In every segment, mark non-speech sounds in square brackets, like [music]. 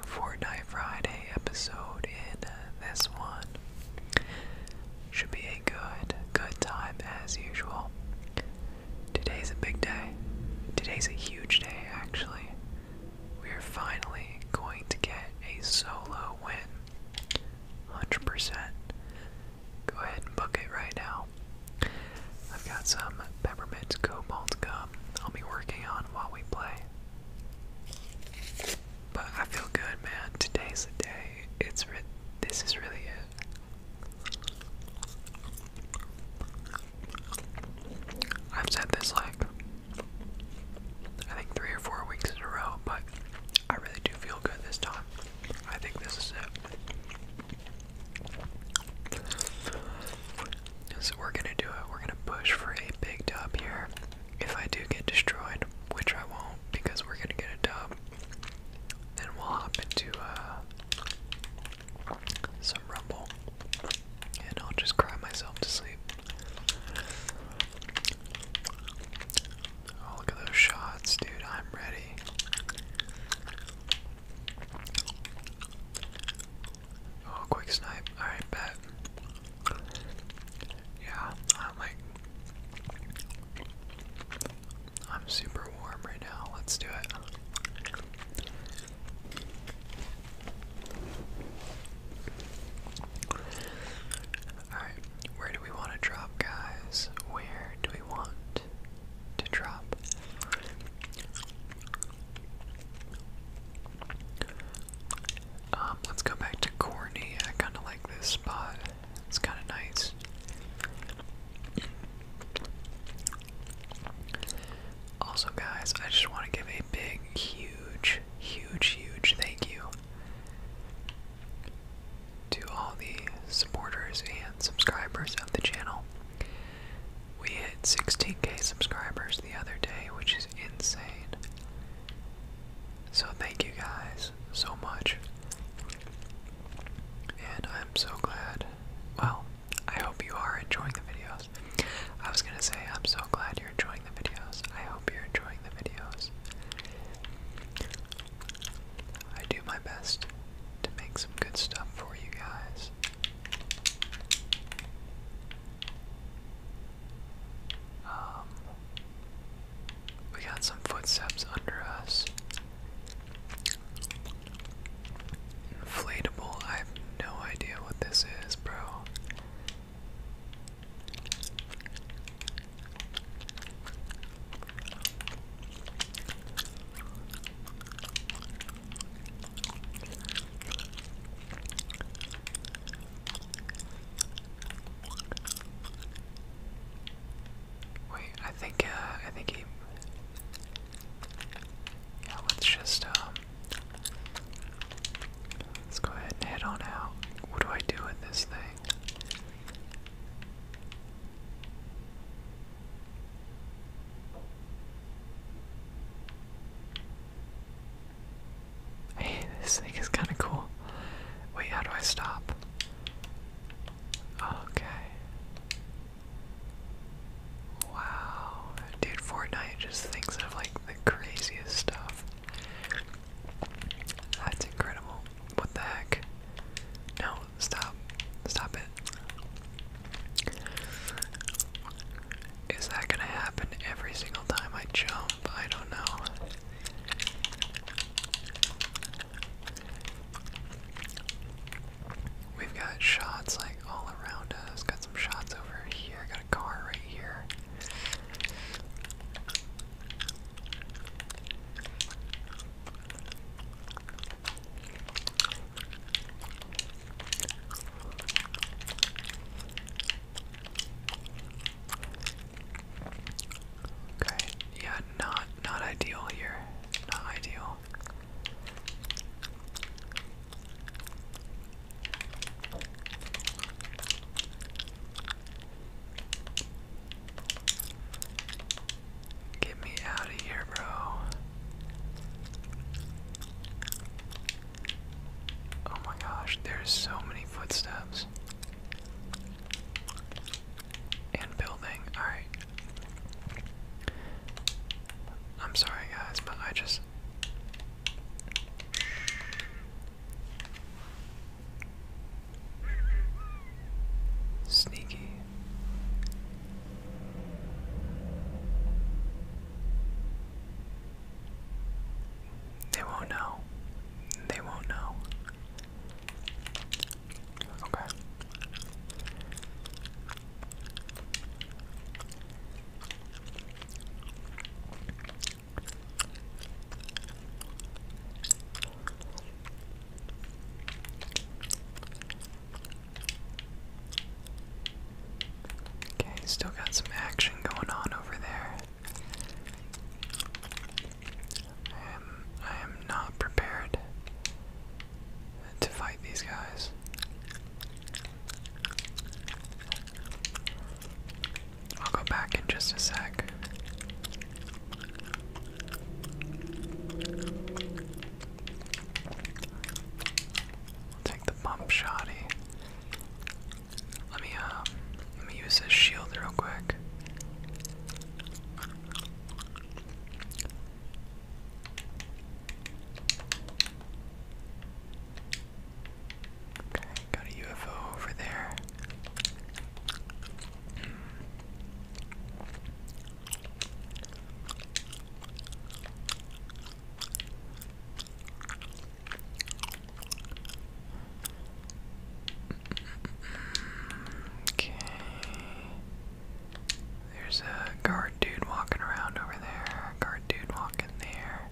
Fortnite Friday episode in uh, this one. Should be a good, good time as usual. Today's a big day. Today's a huge day, actually. We are finally going to get a solo win. 100%. Go ahead and book it right now. I've got some peppermint cobalt gum I'll be working on while we play. But I feel good, man. Today's the day. It's this is really it. I've said this like I think three or four weeks in a row, but I really do feel good this time. I think this is it. So we're gonna do it. We're gonna push for a big dub here. If I do get destroyed, which I won't, because we're gonna get a dub, then we'll hop into uh, some rumble, and I'll just cry myself to sleep. Oh, look at those shots, dude! I'm ready. Oh, quick snipe. Alright, bet. Yeah, I'm like. I'm super warm right now. Let's do it. Alright, where do we want to drop, guys? Where do we want to drop? Um, let's go back to Corny. I kind of like this spot. It's kind of nice. Also, guys, I just want to give a big, huge, huge, huge thank you to all the supporters and subscribers of the channel. We hit 16k subscribers the other day, which is insane. So thank you guys so much. And I'm so glad. Well, I hope you are enjoying the videos. I was gonna say, I'm so glad you're enjoying the videos. I hope you're enjoying the videos. I do my best to make some good stuff for you guys. Um, we got some footsteps under us. Inflatable, I have no idea what this is, bro. Wait, I think, uh, I think he. Yeah, let's just, um, Let's go ahead and head on out. What do I do with this thing? Hey, this thing is kind of cool. Wait, how do I stop? Okay. Wow. Dude, Fortnite just thinks of like the craziest stuff. That's incredible. What the heck? No, stop. Stop it. Is that gonna happen every single time I jump? I don't know. We've got shots like all around us. Got some shots over here. Got a car right here. Okay, yeah, not not ideal here. Not ideal. Get me out of here, bro. Oh my gosh, there's so many footsteps. And building. Alright. I'm sorry, guys, but I just. Sneaky. They won't know. They won't know. Okay. Okay, still got some action going on over there. I am, I am not prepared to fight these guys. I'll go back in just a sec. take the bump shotty. Let me um, let me use this shield real quick. Okay, got a UFO over there. Okay. There's a guard dude walking around over there. Guard dude walking there.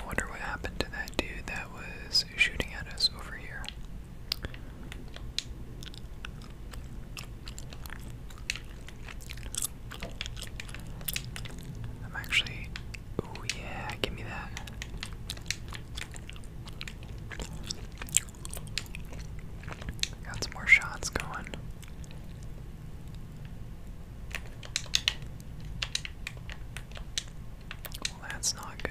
I wonder what happened to that dude that was shooting at us over here. I'm actually. Oh, yeah, give me that. Got some more shots going. Well, that's not good.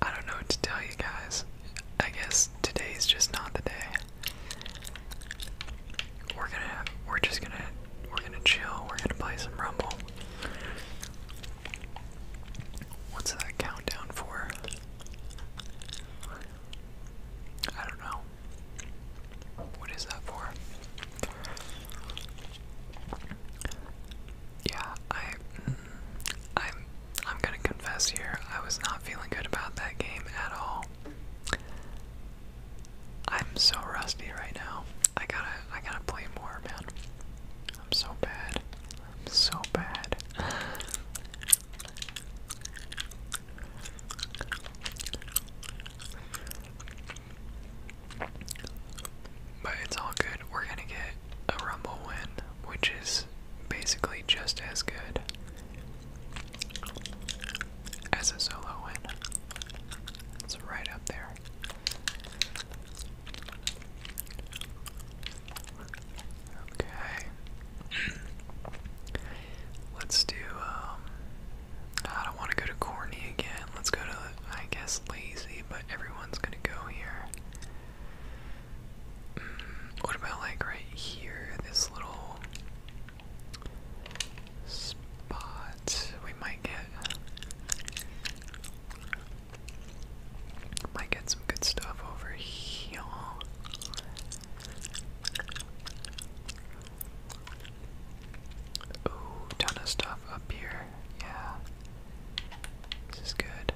I don't know what to tell you guys. I guess today's just not the day. We're gonna, we're just gonna, we're gonna chill. We're gonna play some Rumble. What's that countdown for? I don't know. What is that for? Yeah, I, mm, I'm, I'm gonna confess here, I was not feeling good about that game at all. I'm so rusty right now. I gotta I gotta play more, man. I'm so bad. I'm so bad. But it's all good. We're gonna get a rumble win, which is basically just as good as a solo win. It's right up there. Okay. [clears throat] Let's do, um, I don't want to go to Corny again. Let's go to, I guess, Lazy, but everyone's going to go here. What about like right here, this little spot we might get might get some good stuff over here. Ooh, ton of stuff up here. Yeah. This is good.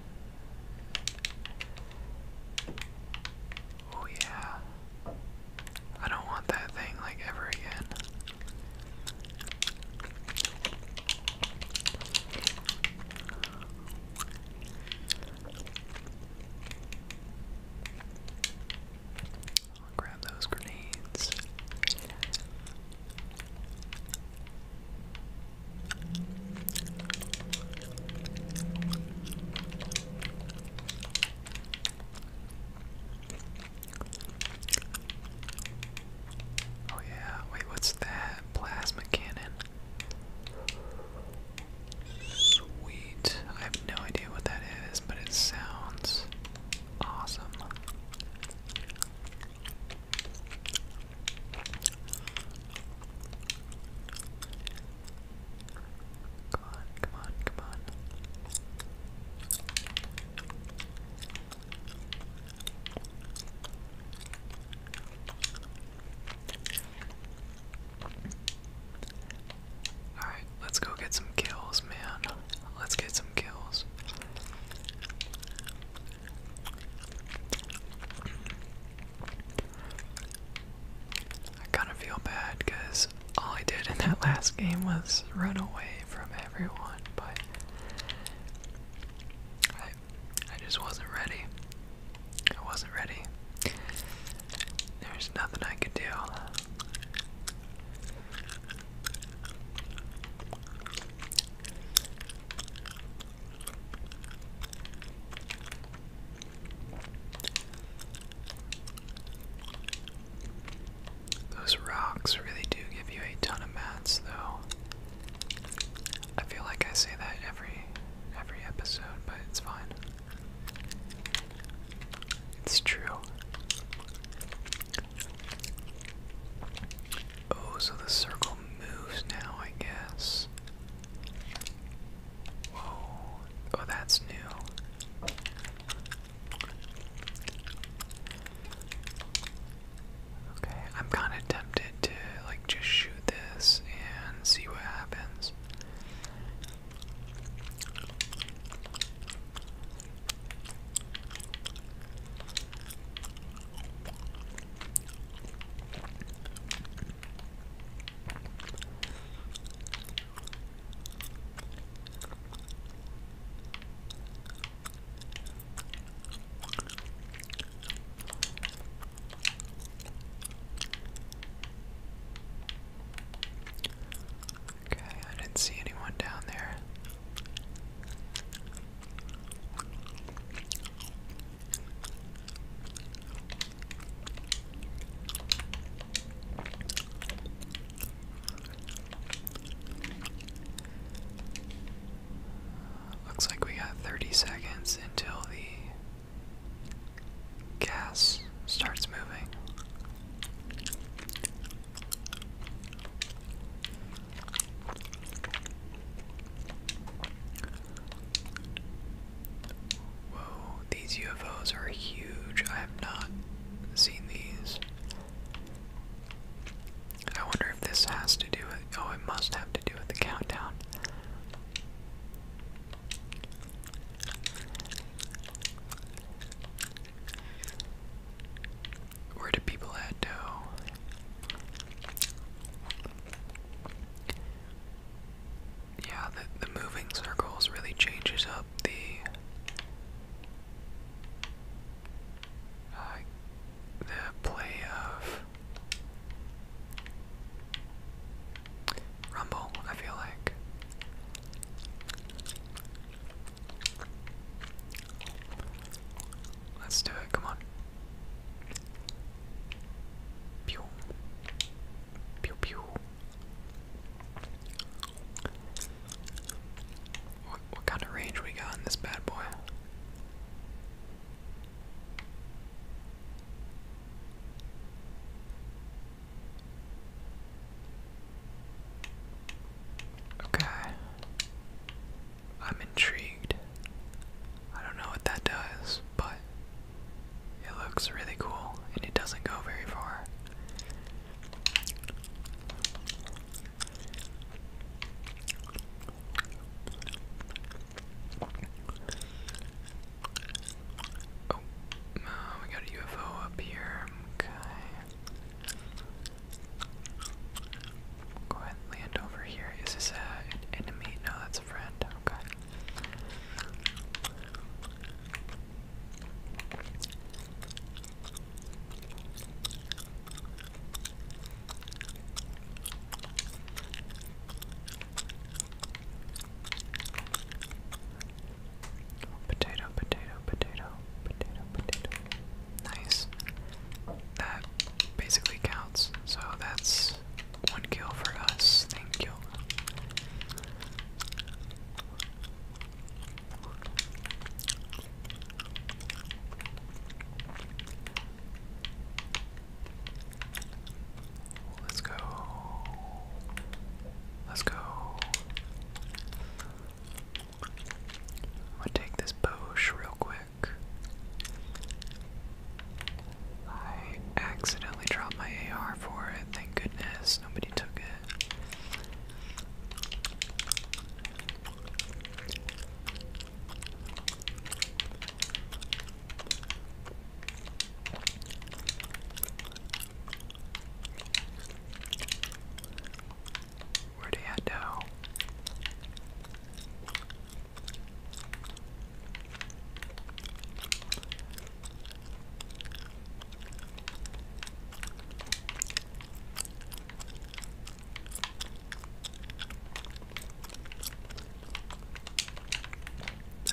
Oh yeah. I don't want that thing like ever again. I'll grab those grenades. Oh yeah, wait, what's that? Plasma cannon. Sweet. I have no idea what that is, but it sounds awesome. Come on, come on, come on. Alright, let's go get some kills, man. Let's get some kills. I kind of feel bad because all I did in that last game was run away from everyone, but I, I just wasn't ready. I wasn't ready. There's nothing I could do. Those rocks really do give you a ton of mats though. I feel like I say that every every episode, but it's fine. It's true. Oh, so the circle moves now, I guess. Whoa. Oh, that's new. Okay, I'm kind of tempted to, like, just shoot this and see what happens. Okay, I didn't see anyone down there. Looks like we got 30 seconds until the gas starts moving. Whoa, these UFOs are huge. I have not seen these. I wonder if this has to do with. Oh, it must have to do with the countdown. Where do people at, though? Yeah, the, the moving circles really changes up the the play of Rumble, I feel like. Let's do it, come on. Pew. Pew pew. What, what kind of range we got in this bad boy? Okay. I'm intrigued. I don't know what that does, but it looks really cool and it doesn't go very far. Oh, uh, we got a UFO up here. Okay. Go ahead and land over here. Is this a, an enemy? No, that's a friend. Okay. Potato, potato, potato, potato, potato. Nice. That basically counts. So that's one kill for us. Thank you. Let's go. Let's go. i take this bush real quick. I accidentally dropped my AR for it. Thank goodness nobody took it. Where'd he head now?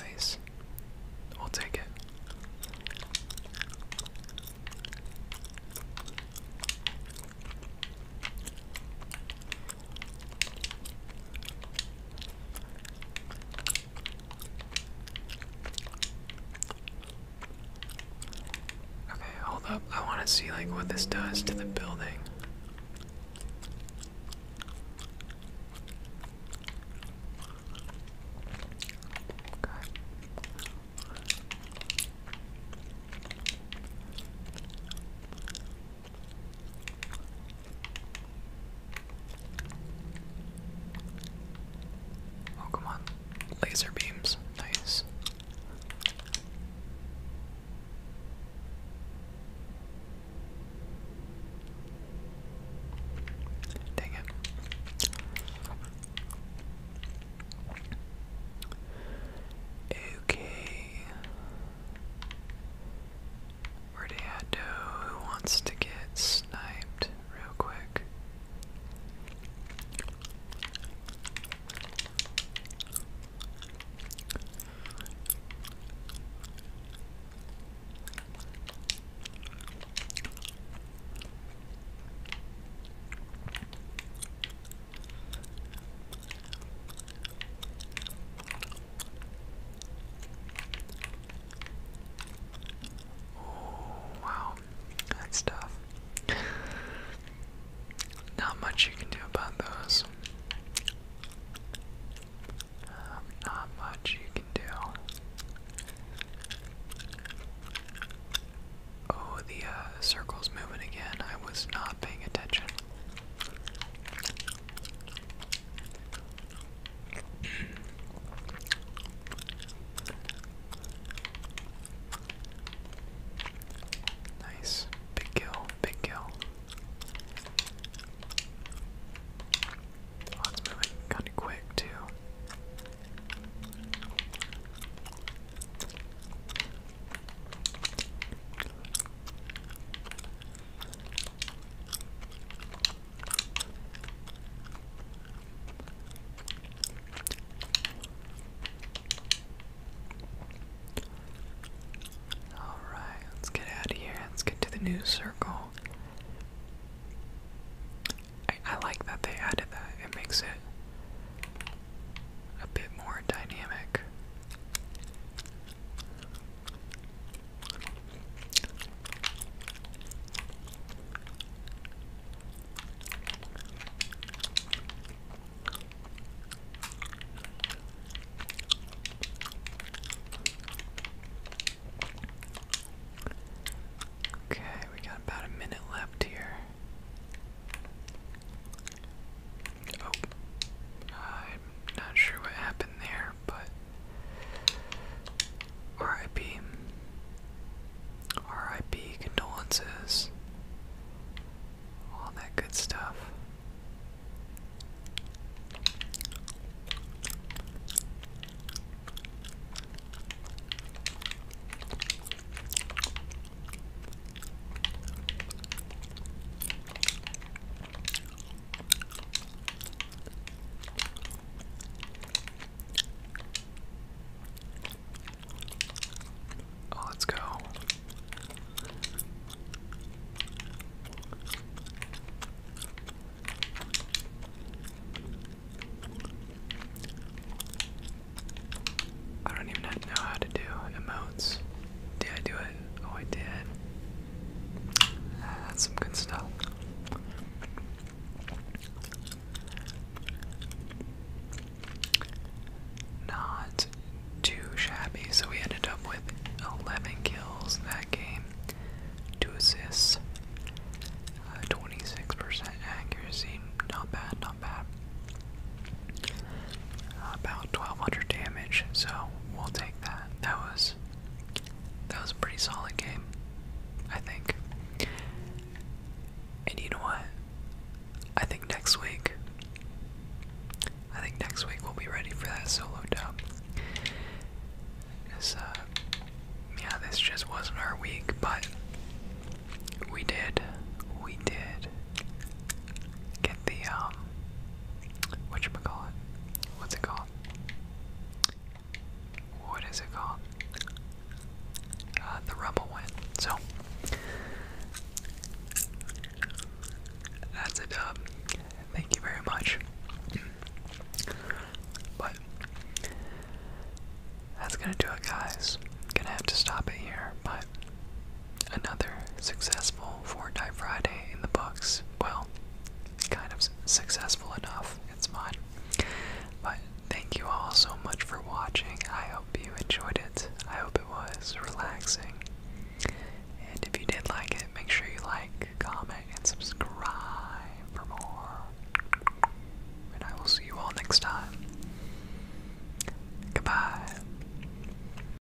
Nice. I'll take it. Okay, hold up. I want to see like what this does to the building. Okay. Oh, come on. Laser beams. Nice. Dang it. Okay. Where do you who wants to get sniped real quick? Oh, wow. That's tough. Not much you can do about those. Um, not much you can do. Oh, the uh, circle's moving again. I was not paying attention. Nice. Big kill, big kill. Oh, moving kind of quick, too. Alright, let's get out of here. Let's get to the new circle. I like that they added that, it makes it a bit more dynamic. Okay, we got about a minute left here. Oh, I'm not sure what happened there, but RIP. RIP, condolences, all that good stuff. Oh, let's go. I don't even know how to do emotes. Did I do it? Oh, I did. Ah, that's some good stuff. Not too shabby. So we ended up with 11 kills in that game, 2 assists, 26% accuracy. Not bad, not bad about 1200 damage, so we'll take that. That was that was a pretty solid game, I think. And you know what? I think next week I think next week we'll be ready for that solo dub. This, uh, yeah, this just wasn't our week, but we did, we did get the um whatchamacallit? What's it called? What is it called? Uh, the rebel win. So that's a dub. Thank you very much. But that's gonna do it, guys. Gonna have to stop it here. My another successful Fortnite Friday in the books. Well, kind of successful enough, it's mine. But thank you all so much for watching. I hope you enjoyed it. I hope it was relaxing. And if you did like it, make sure you like, comment, and subscribe for more. And I will see you all next time. Goodbye.